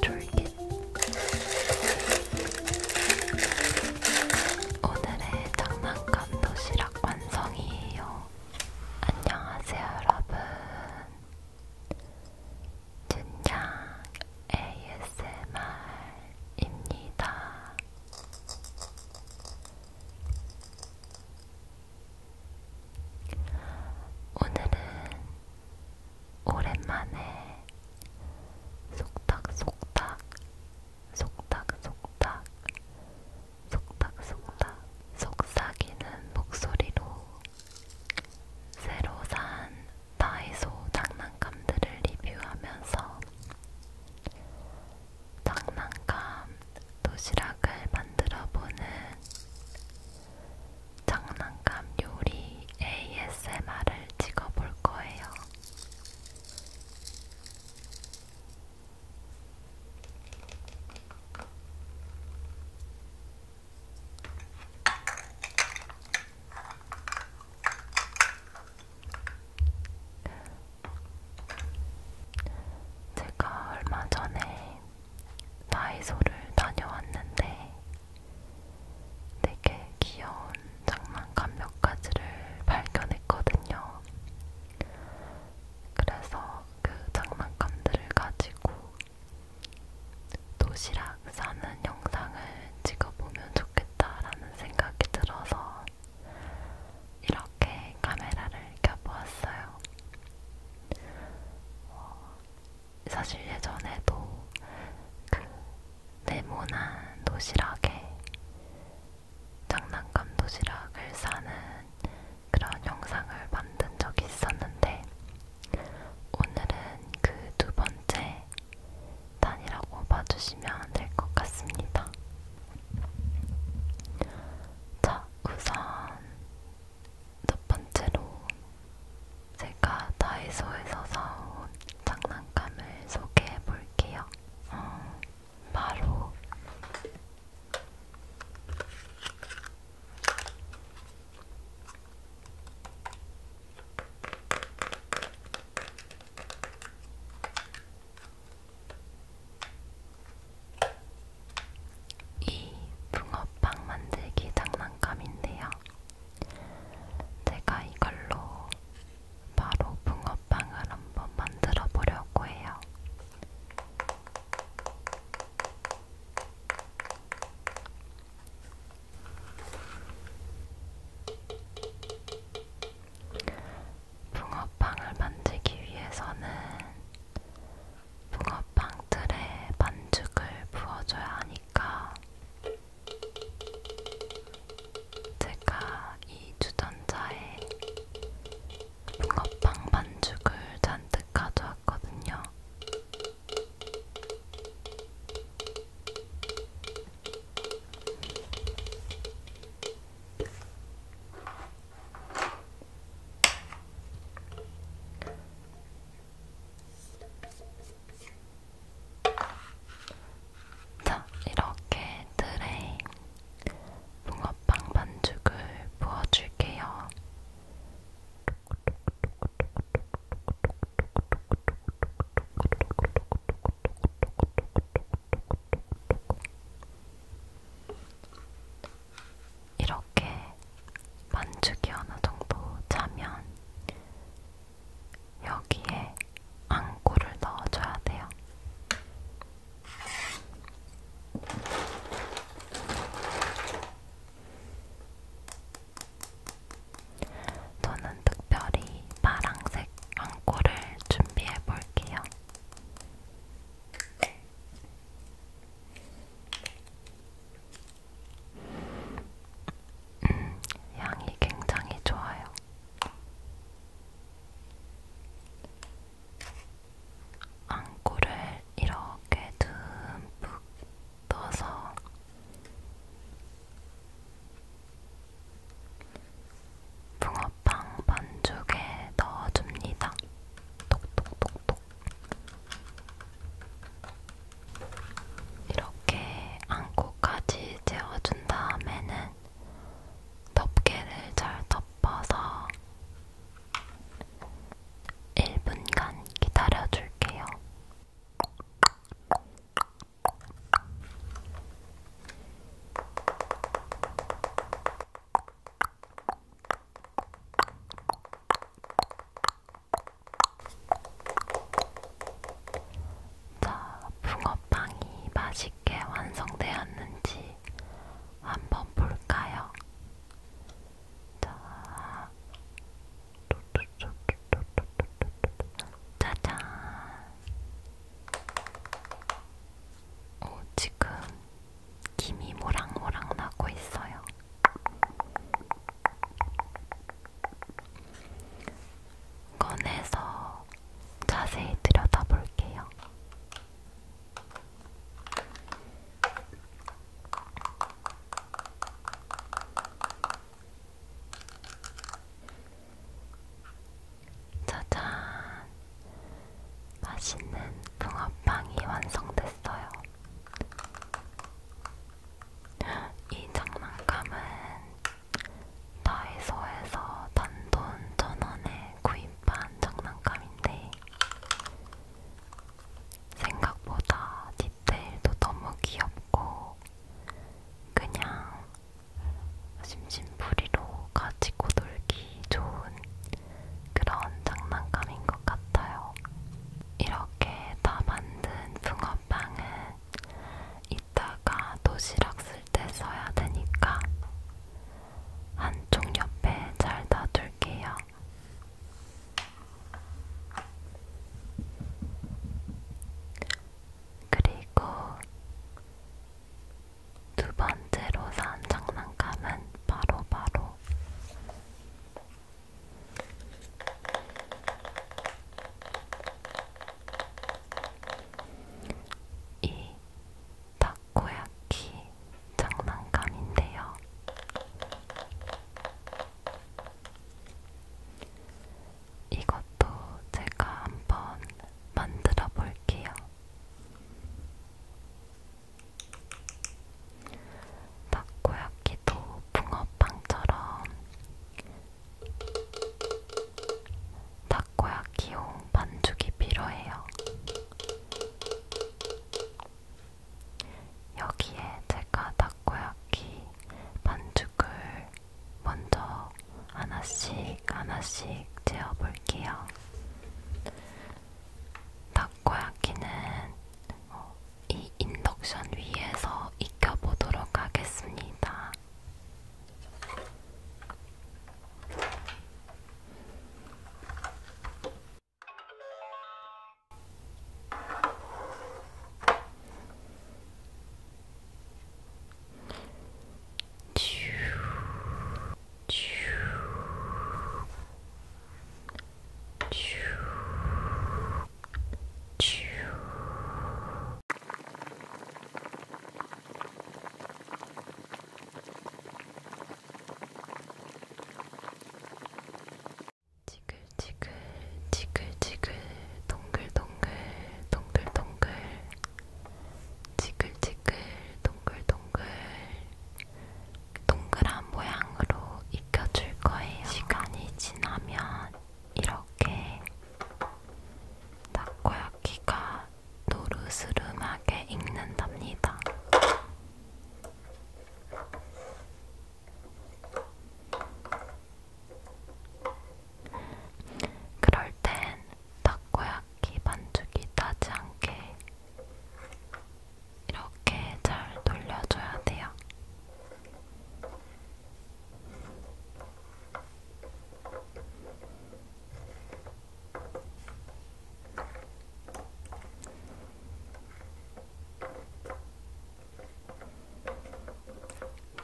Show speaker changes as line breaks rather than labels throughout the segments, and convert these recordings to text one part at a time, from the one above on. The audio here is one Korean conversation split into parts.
쫄깃쫄깃 오늘의 장난감 도시락 완성이에요. 안녕하세요 여러분. 준양 ASMR입니다. 오늘은 오랜만에 속닥속닥 속닥속닥 속닥속닥 속삭이는 목소리로 새로 산 다이소 장난감들을 리뷰하면서 장난감 도시락을 만들어보는 장난감 요리 ASMR을 찍어볼 거예요. 제가 얼마 전에 다이소를 다녀왔는데 되게 귀여운 장난감 몇 가지를 발견했거든요. 그래서 그 장난감들을 가지고 도시락 싸는 영상을 찍어보면 좋겠다라는 생각이 들어서 이렇게 카메라를 켜보았어요. 어, 사실 예전에도 그 네모난 도시락에 장난감 도시락을 사는 그런 영상을 만든 적이 있었는데 오늘은 그 두 번째 단이라고 봐주시면 될 것 같습니다. 자, 우선 첫 번째로 제가 다이소에서 사온 장난감을 소개해 볼게요. 어, 바로 이 붕어빵 만들기 장난감인데요. 제가 이걸로 바로 붕어빵을 한번 만들어 보려고 해요. 붕어빵을 만들기 위해서는 붕어빵 틀에 반죽을 부어줘야 하니까 제가 이 주전자에 붕어빵 반죽을 잔뜩 가져왔거든요. 자, 이렇게 틀에 붕어빵 반죽을 부어줄게요. 이렇게 만주기 하나 정도 차면 여기에 앙꼬를 넣어줘야 돼요. 저는 특별히 파랑색 앙꼬를 준비해 볼게요. 음, 향이 굉장히 좋아요. 안고를 이렇게 듬뿍 넣어서 붕어빵 반죽에 넣어줍니다. 톡톡톡톡. 이렇게 안고까지 재워준 다음에는 덮개를 잘 덮어서 1분간 기다려줄게요. 자, 붕어빵이 맛있게 완성되었는지 한번 볼까요? 자, 짜잔! 어, 지금 김이 모락모락 나고 있어요. 꺼내서 자세히 들여다볼게요. 짜잔! 맛있는 붕어빵이 완성됐어요. 이 장난감은 다이소에서 단돈 천원에 구입한 장난감인데 생각보다 디테일도 너무 귀엽고 그냥 심심풀이로 가지고 놀기 좋은 그런 장난감인 것 같아요. 이렇게 다 만든 붕어빵은 이따가 도시락 쓸 때 써야 되니까 한쪽 옆에 잘 놔둘게요. 그리고 두 번째로 산 장난감은 바로 바로 이 타코야키 장난감인데요. 이것도 제가 한번 만들어 볼게요. 타코야키도 붕어빵처럼 타코야키용 반죽이 필요해요. 여기에 제가 타코야키 반죽을 먼저 하나씩 하나씩 재어볼게요. 타코야키는 어, 이 인덕션 위에서 익혀보도록 하겠습니다. 지글지글 지글지글 동글동글 동글동글 지글지글 동글동글 동그란 모양으로 익혀줄 거예요. 시간이 지나면 이렇게 타코야키가 노르스름하게 익는답니다. 그럴 땐 타코야끼 반죽이 따지 않게 이렇게 잘 돌려줘야 돼요.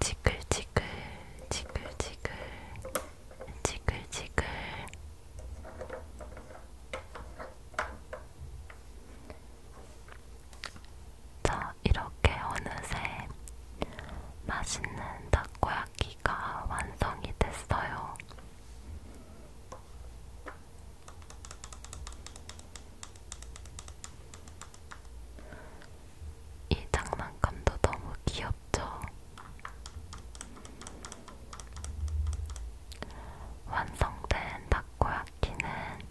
지글지글 지글지글 지글지글 자 이렇게 어느새 맛있는 닭고야끼가 완성이 됐어요. 이 장난감도 너무 귀엽죠? 완성된 다코야키는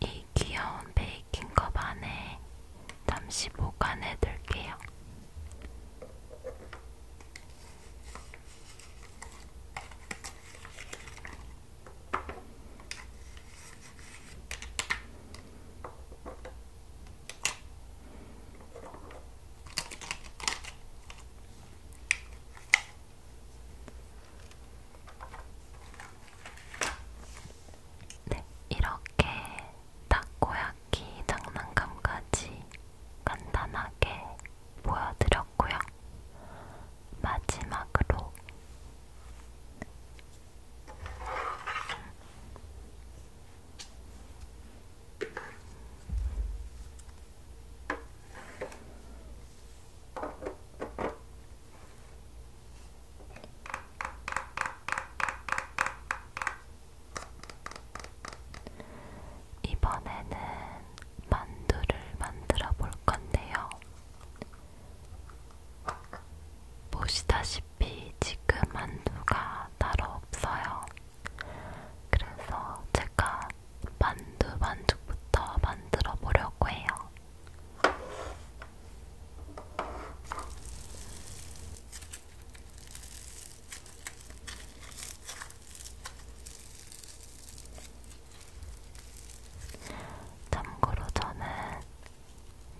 이 귀여운 베이킹컵 안에 잠시 보관해 둘게요. 네, 이렇게 타코야키 장난감까지 간단하게 보여드렸고요. 마지막으로 이번에는 만두를 만들어 볼 건데요. 보시다시피 지금 만두가 따로 없어요. 그래서 제가 만두 반죽부터 만들어 보려고 해요. 참고로 저는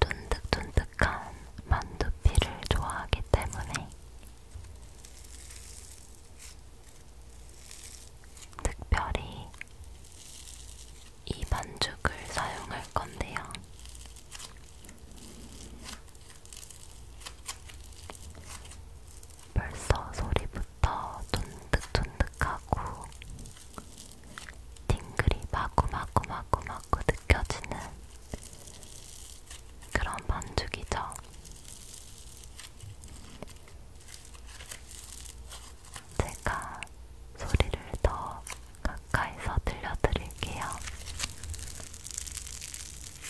쫀득쫀득한 만두피를 좋아하기 때문에 특별히 이 반죽을 사용할 건데요. 벌써 소리부터 쫀득쫀득하고 팅글이 마구마구마구마구 느껴지는 그런 반죽이죠. 제가 소리를 더 가까이서 들려드릴게요.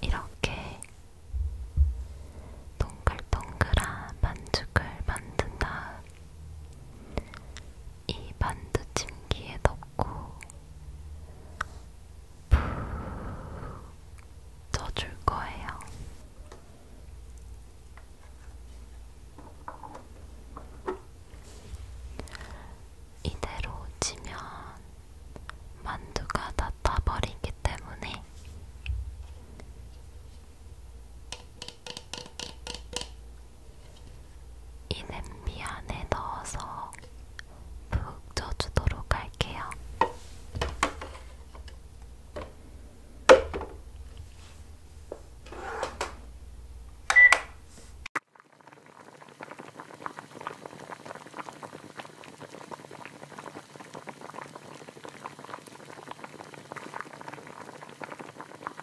네, 이렇게 동글동글한 반죽을 만든 다음 이 반드 침기에 넣고 푹 쪄줄 거예요. 이대로 지면 만두가 다 타버리기 때문에 이 냄비 안에 넣어서 푹 쪄주도록 할게요.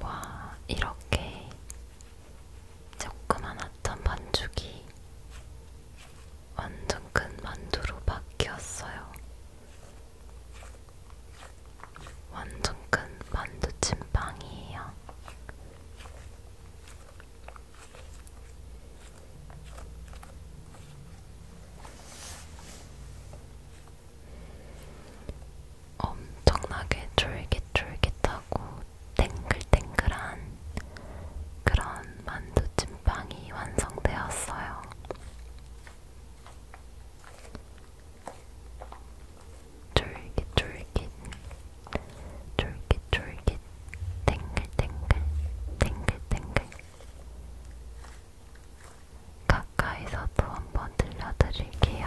와, 이렇게 조그만했던 반죽이 완전 큰 만두로 바뀌었어요. 완전 큰 만두찜빵이에요. 엄청나게 쫄깃쫄깃하고 땡글땡글한 그런 만두찜빵이 완성되었어요. 쫄깃쫄깃 쫄깃쫄깃 탱글탱글 탱글탱글 가까이서도 한번 들려드릴게요.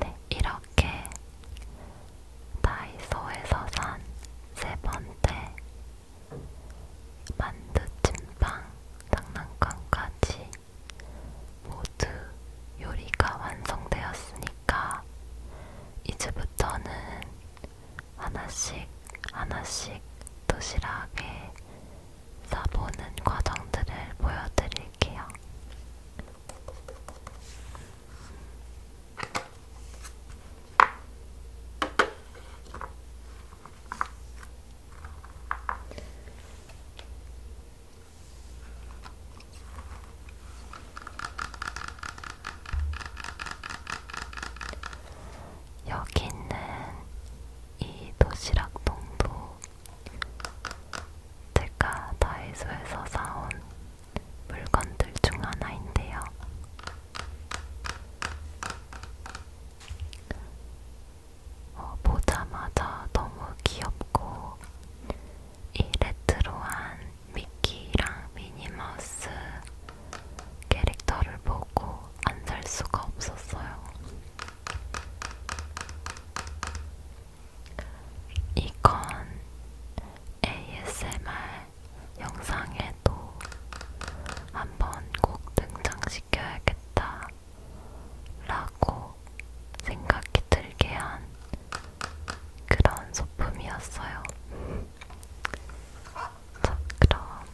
네, 이렇게 다이소에서 산 세 번째 만두찐빵 장난감까지 모두 요리가 완성되었으니까 이제부터는 하나씩 하나씩 도시락에 써보는 과정들을 보여드릴게요. 여기 있는 이 도시락통도 제가 다이소에서 사온 물건들 중 하나인데요. 어, 보자마자 너무 귀엽고 이 레트로한 미키랑 미니마우스 캐릭터를 보고 안 살 수가 없었어요. 이건 ASMR 영상에도 한번 꼭 등장시켜야겠다 라고 생각이 들게 한 그런 소품이었어요. 자, 그럼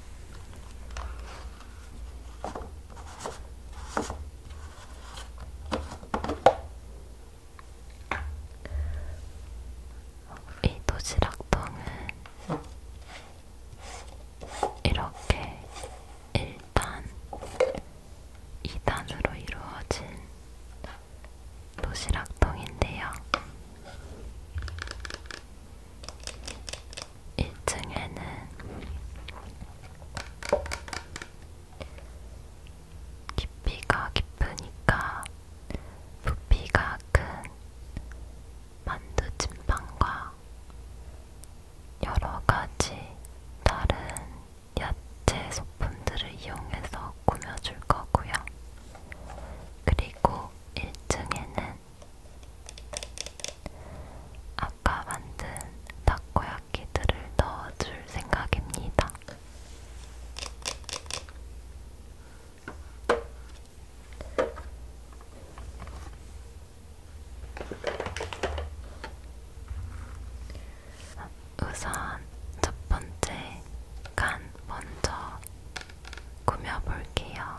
이 도시락통은 이렇게 1단, 2단으로 이루어진 도시락통인데요. 1층에는 깊이가 깊으니까 부피가 큰 만두찜빵과 여러가지 다른 야채 소품들을 이용해서 꾸며줄 거고요. 그리고 1층에는 아까 만든 다코야끼들을 넣어줄 생각입니다. 우선 첫 번째 간 먼저 꾸며볼게요.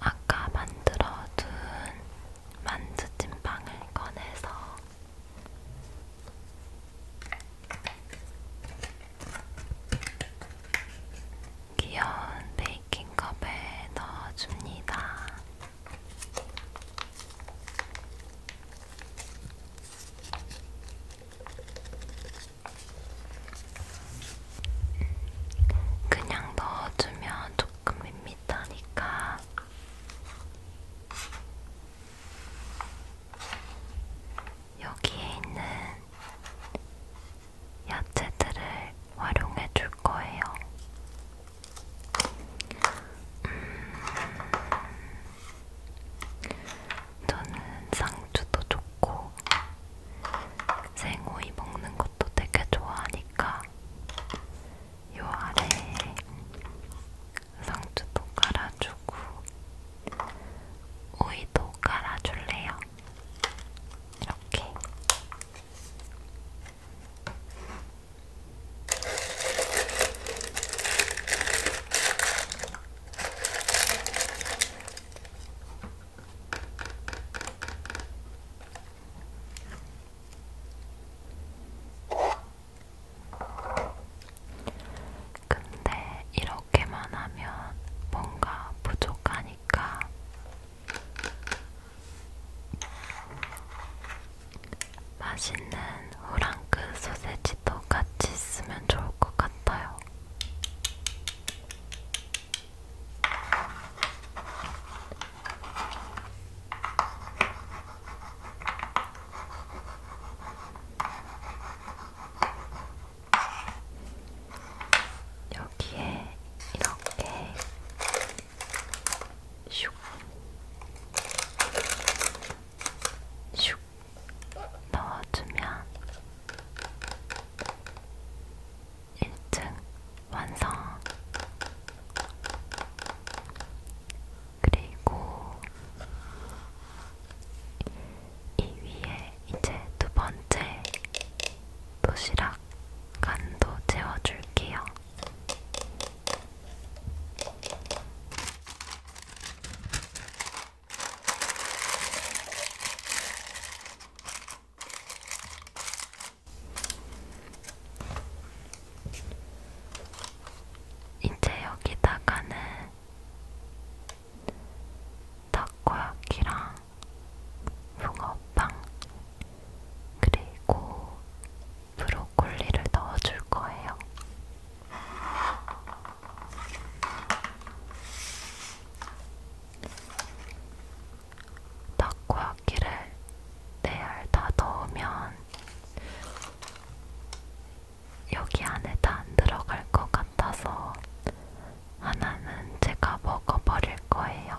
아까 만들어둔 만두찐빵을 꺼내서 귀여운 베이킹컵에 넣어줍니다. 그냥 넣어주면 조금 밋밋하니까 여기에 있는 야채들을 활용해 줄 거예요. 음, 저는 상추도 좋고 생오이 먹는 것도 되게 좋아하니까 요 아래에 상추도 깔아주고 오이도 깔아줄래요. 이렇게 근데 이렇게만 하면 뭔가 부족하니까 맛있는 후랑크 소세지도 같이 쓰면 좋을 것 같아요. 여기에 이렇게 슉, 슉 넣어주면 1층 완성. 그리고 이 위에 이제 두 번째 도시락 간도 채워줄게요. 이제 여기다가는 타코야키랑 붕어빵 그리고 브로콜리를 넣어줄 거예요. 타코야끼를 네알다 넣으면 여기 안에 다 안 들어갈 것 같아서 하나는 제가 먹어버릴 거예요.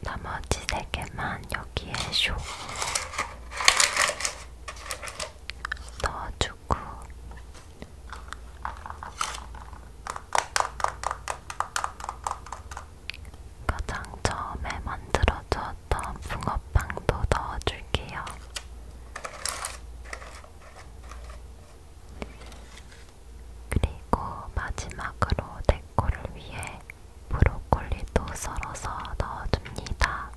나머지 세 개만 여기에 쇼 넣어주고 가장 처음에 만들어줬던 붕어빵도 넣어줄게요. 그리고 마지막으로 데코를 위해 브로콜리도 썰어서 넣어줍니다.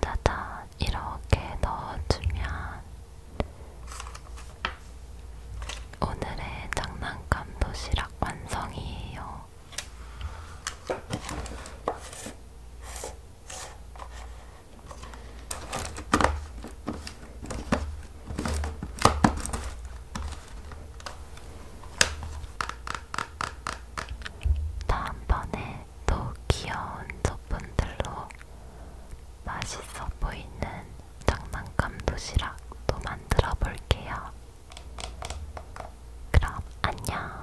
짜잔, 이렇게 넣어주면 오늘의 장난감 도시락 완성이에요. 다음번에 또 귀여운 소품들로 맛있어 보이는 장난감 도시락도 만들어 볼게요. 그럼 안녕!